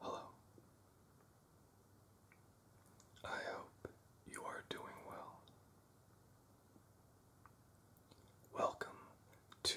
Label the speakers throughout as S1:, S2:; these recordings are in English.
S1: Hello. I hope you are doing well. Welcome to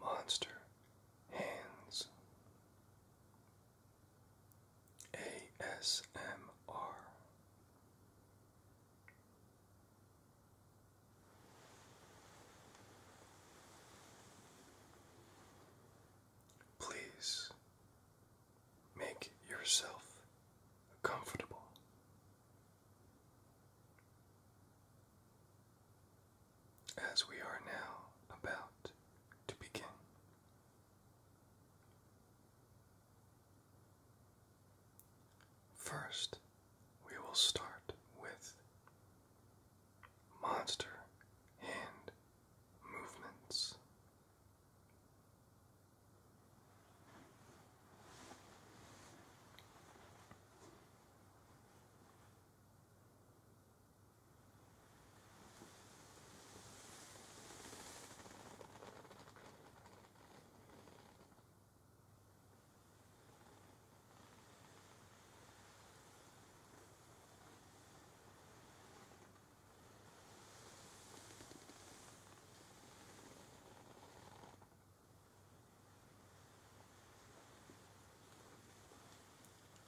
S1: Monster Hands ASMR Please make yourself comfortable. As we are now about to begin. First, we will start with Monster Hand movements.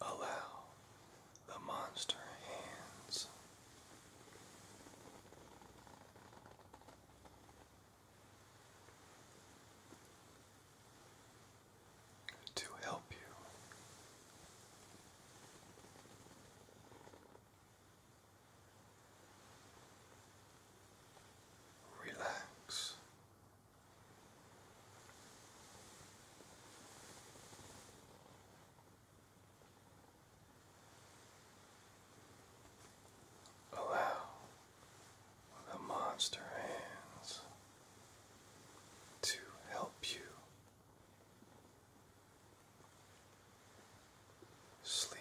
S1: Allow the monster hands to help you. Relax. Allow the monster hands to help you Sleep.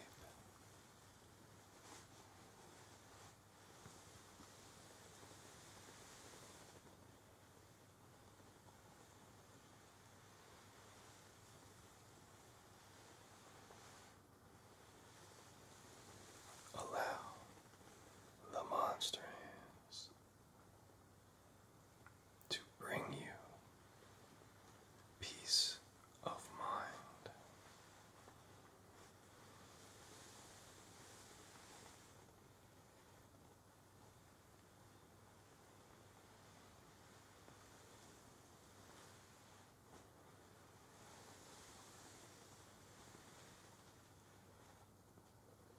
S1: Allow the monster hands to bring you peace of mind.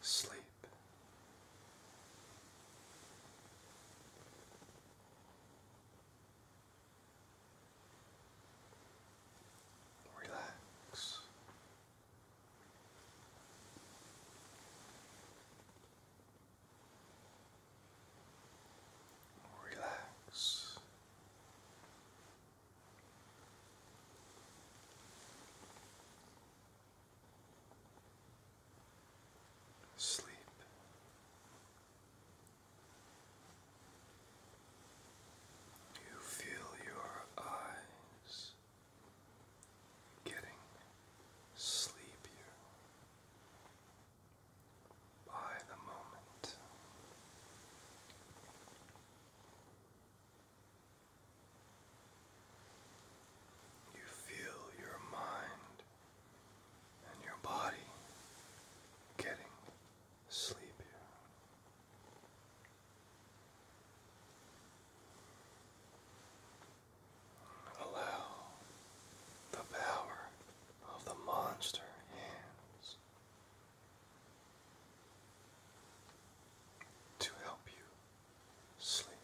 S1: Sleep. Relax. Relax. Sleep. You feel your eyes getting sleepier by the moment. You feel your mind and your body getting sleepier. Allow the power of the monster hands to help you sleep.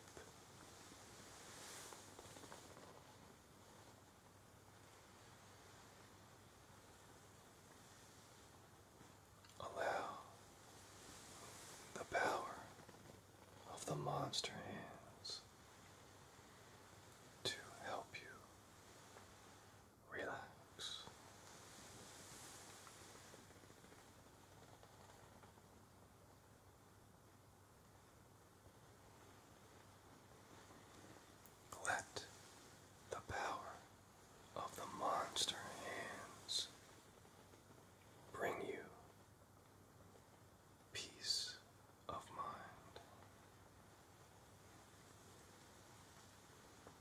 S1: Allow the power of the monster hands to help you relax. Let the power of the monster hands bring you peace of mind.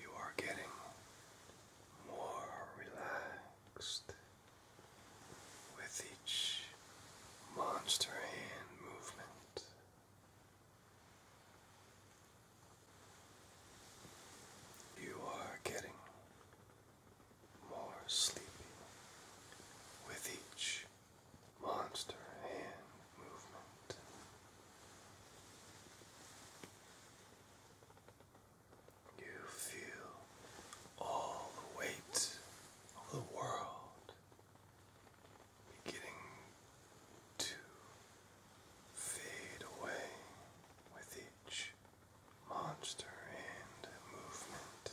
S1: you are getting more relaxed with each monster hand movement. You are getting more sleepy with each monster hand movement. You feel all the weight of the world beginning to fade away with each monster and movement.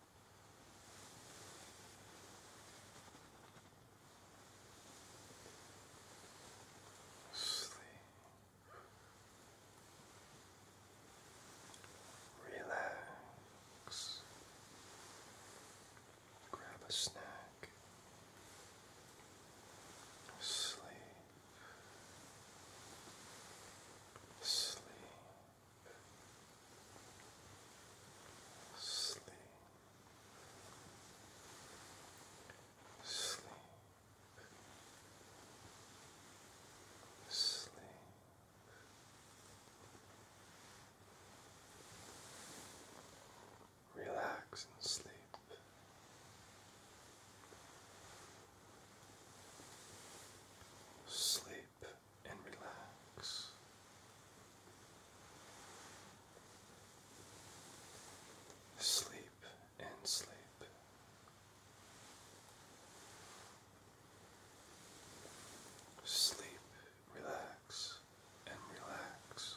S1: Sleep. Relax. Grab a snack. Sleep. Sleep. Sleep. Sleep. Sleep. Relax and sleep. Sleep and relax. Sleep and sleep. Sleep, relax, and relax.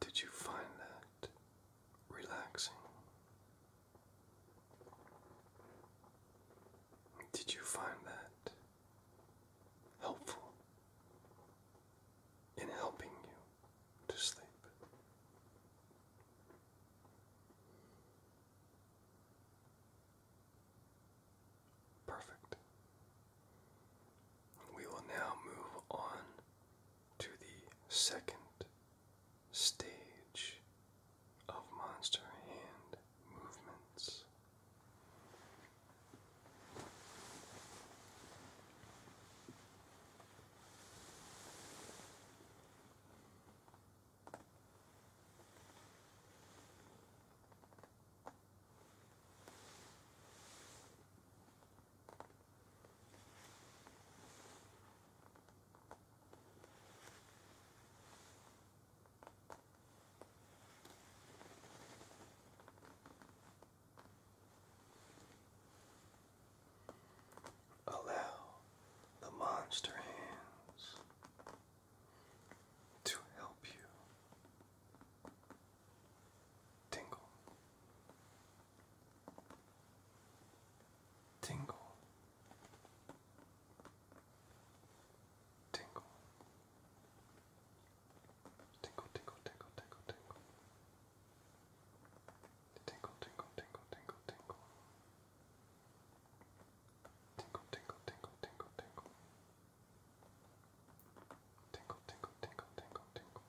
S1: Did you find that relaxing? Did you find that helpful in helping you to sleep? Perfect. We will now move on to the second stage of monster hand movements. Allow the monster hands to help you tingle, tingle, tingle, tingle, tingle, tingle, tingle, tingle. Tinkle, tinkle, tinkle, tinkle, tinkle. Tinkle, tinkle, tinkle, tinkle, tinkle. Tinkle, tinkle, tinkle, tinkle, tinkle.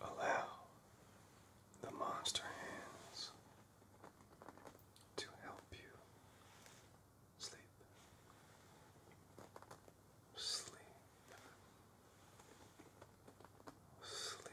S1: Allow the monster hands to help you sleep. Sleep. Sleep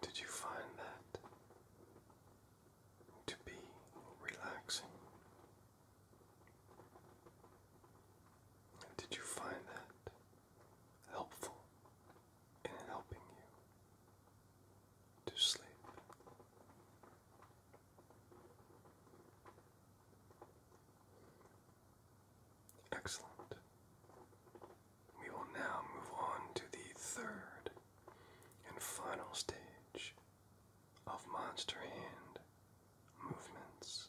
S1: Did you find that to be relaxing? Did you find that helpful in helping you to sleep? Excellent. We will now move on to the third and final stage of monster hand movements.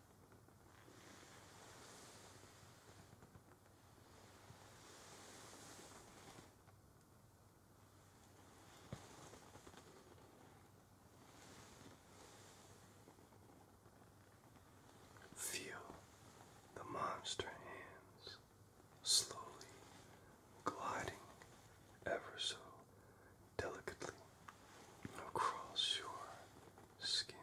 S1: Feel the monster hands slowly gliding ever so delicately across your skin.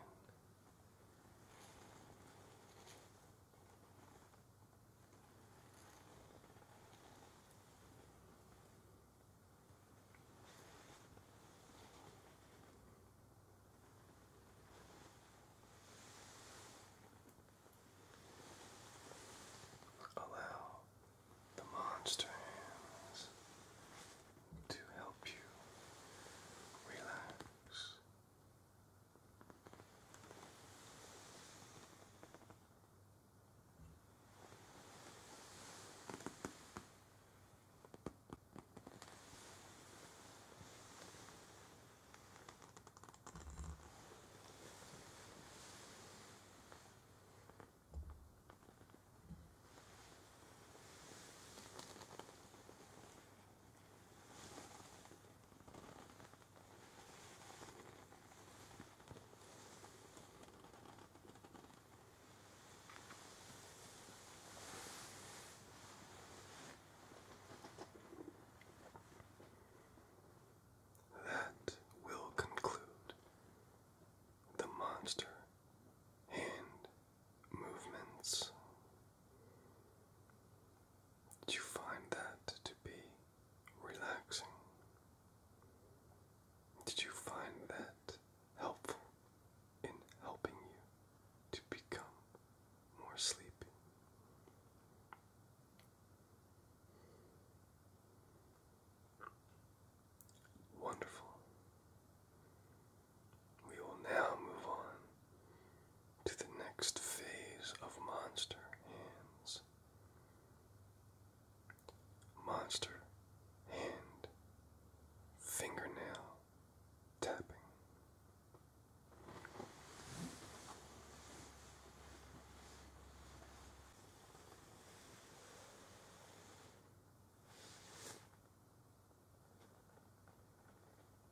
S1: Allow the monster hands to help you relax. That will conclude the monster and movements. Do you find that to be relaxing? Did you find that helpful in helping you to become more sleepy? Wonderful. We will now move on to the next phase of monster hands. Monster hand fingernail tapping.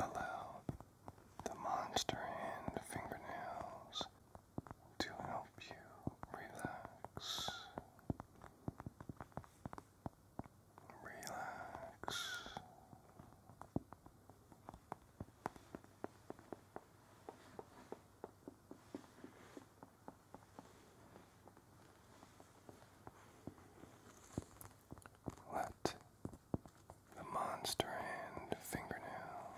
S1: Allow the monster and fingernails to help you relax. Relax. Let the monster hand fingernails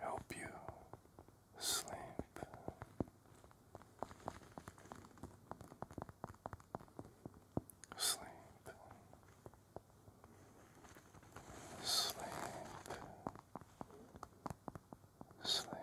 S1: help you sleep. Sleep. Sleep. Sleep. Sleep.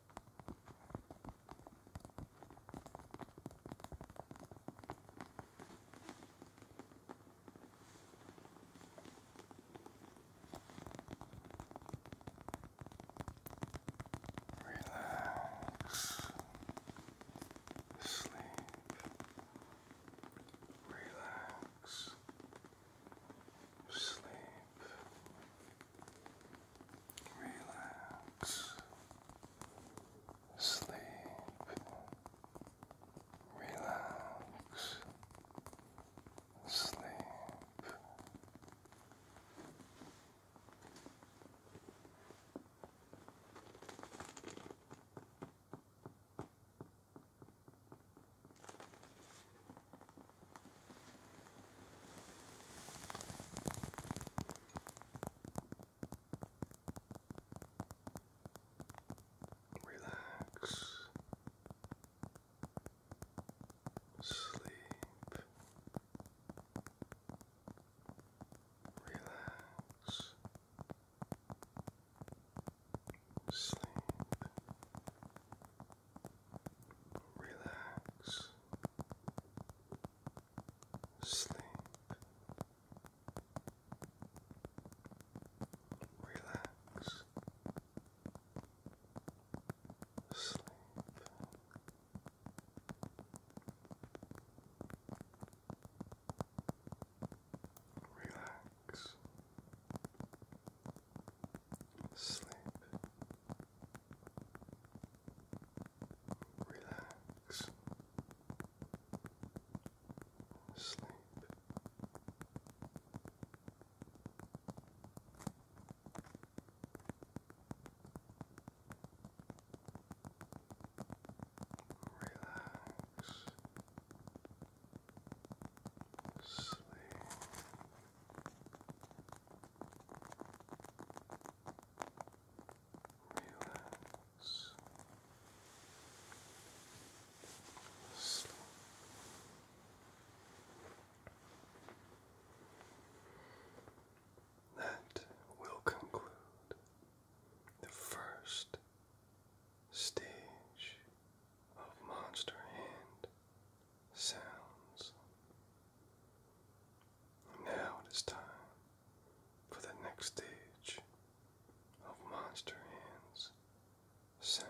S1: Relax. Sleep. Relax. Sleep relax, sleep, relax, sleep. Relax. Sleep. Relax. Sleep relax, sleep, relax, sleep. Relax, sleep, relax, sleep. Relax, sleep, Relax. Slow. That will conclude the first stage of Monster Hand sounds. Now it is time for the next stage of Monster Hands sounds.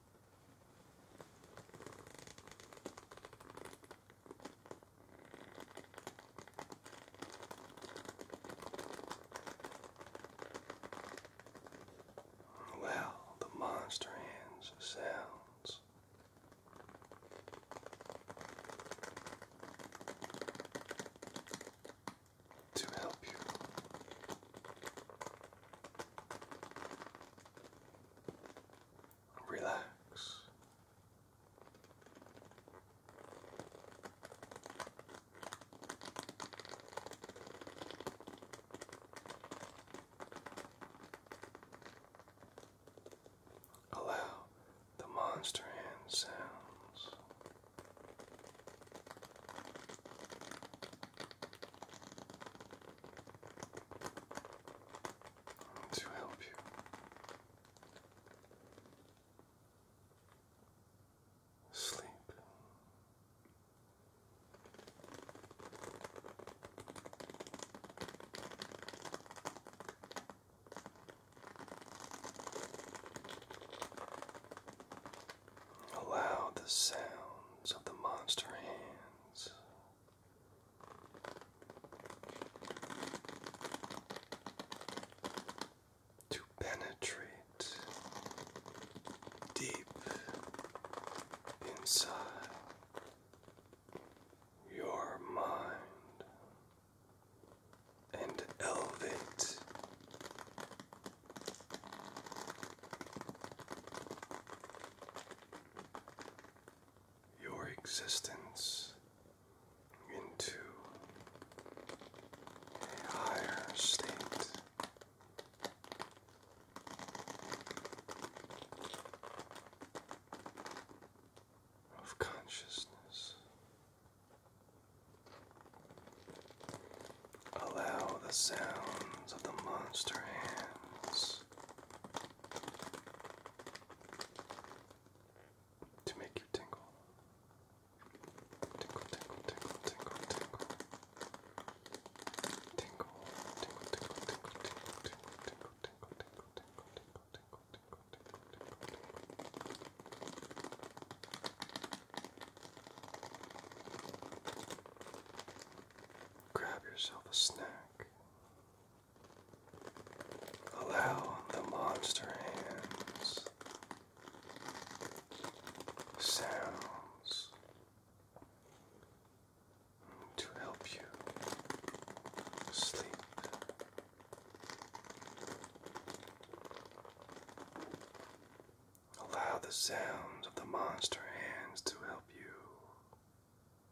S1: Well, the monster hands sounds. To help you relax. Allow the monster hand sounds to help you. Sleep. Allow the sounds of the monster hands to penetrate deep inside your mind and elevate your existence into a higher state. Of consciousness. Allow the sounds of the monster hands to make you tingle. Tinkle, tinkle, tinkle, tinkle, tinkle. Tinkle, tinkle, tinkle, tinkle, tinkle, tinkle, tinkle, tinkle, tinkle, tinkle, tinkle, tinkle, tinkle, tinkle, tinkle, tinkle. Grab yourself a snack. Allow the monster hands, sounds to help you sleep. Allow the sounds of the monster hands to help you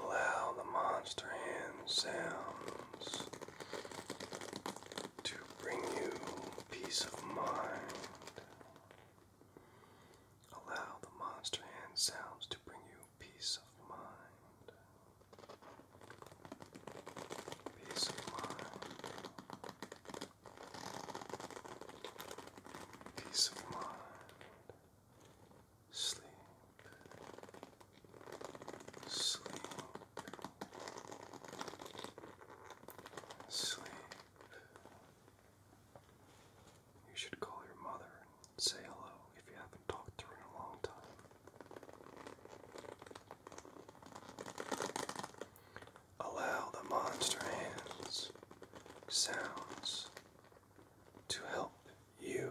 S1: Allow the monster hand sounds to bring you peace of mind. Allow the monster hand sounds to bring you peace of mind. Peace of mind. Peace of mind sleep, sleep, sleep. You should call your mother and say hello if you haven't talked to her in a long time. Allow the monster hands sounds to help you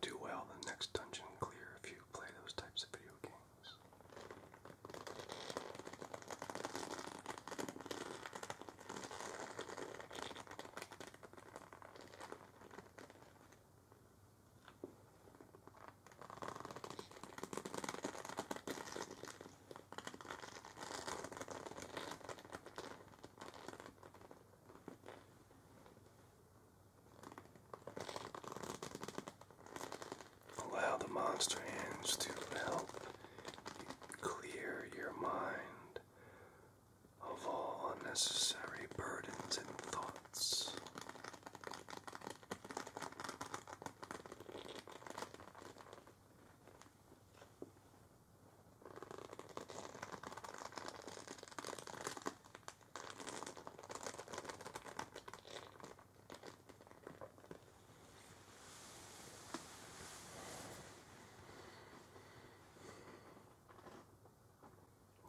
S1: do well the next dungeon clear if you play those types of video games. Allow the monster hands to help clear your mind of all unnecessary burdens and thoughts.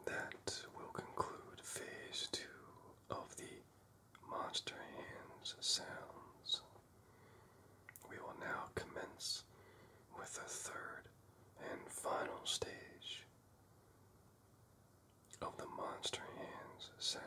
S1: That will conclude phase two of the monster hands sounds. We will now commence with the third and final stage of the monster hands sounds.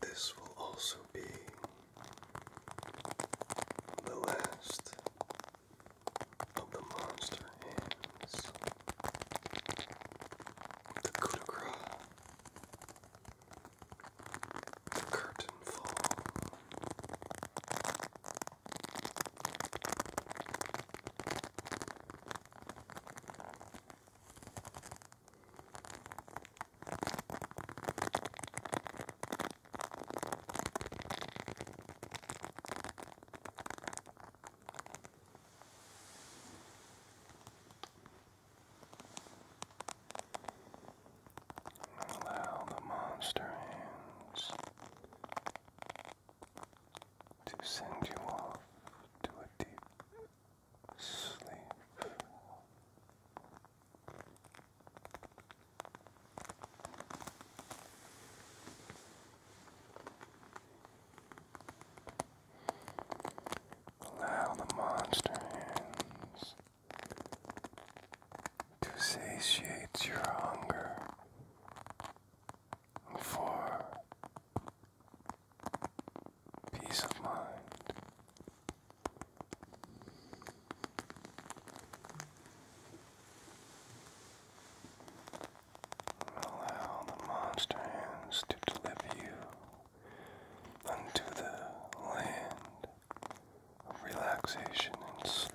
S1: This will also be the last of the monster hands. The coup de The curtain fall. Allow the monster hands to send you off to a deep sleep. Allow the monster hands to satiate your hunger for peace of mind. Allow the monster to deliver you unto the land of relaxation and sleep.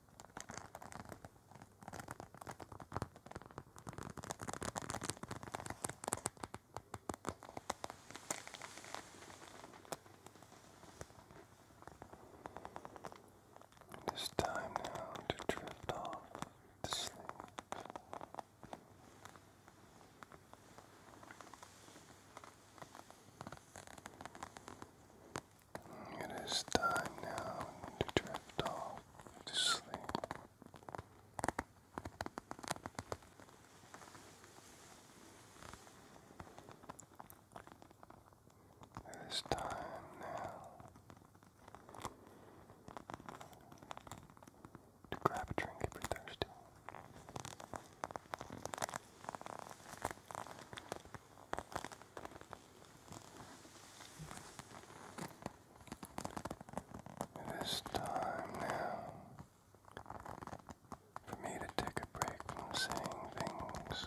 S1: It's time now to drift off to sleep. It is time now to drift off to sleep. It is time now to grab a drink if you're thirsty. It is time now for me to take a break from saying things.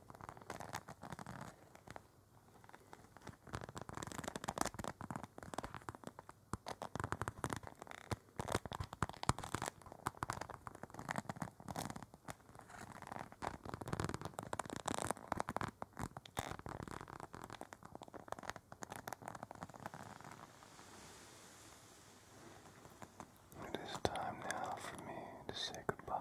S1: It is time now for me to say goodbye.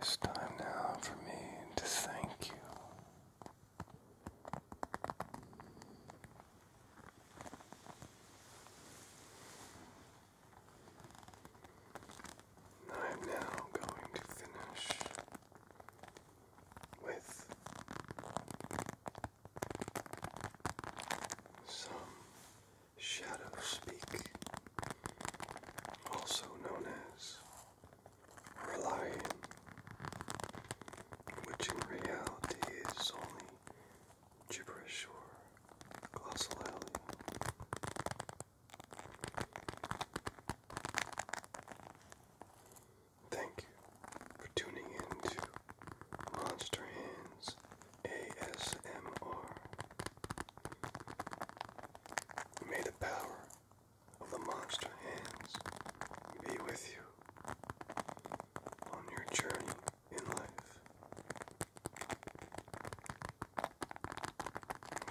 S1: It's time now for me to thank you. I'm now going to finish with some shadow speak, also known as Reliant, which in reality is only gibberish or glossolalia. Thank you for tuning in to Monster Hands ASMR. May the power of the Monster Hands be with you on your journey in life.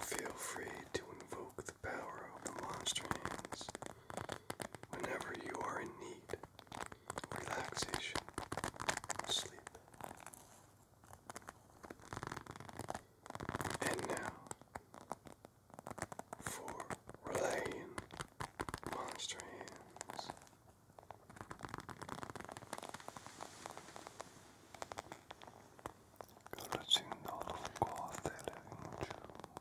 S1: Feel free to invoke power of the monster hands whenever you are in need relaxation sleep. And now for relaying monster hands. Corazzino quote le luce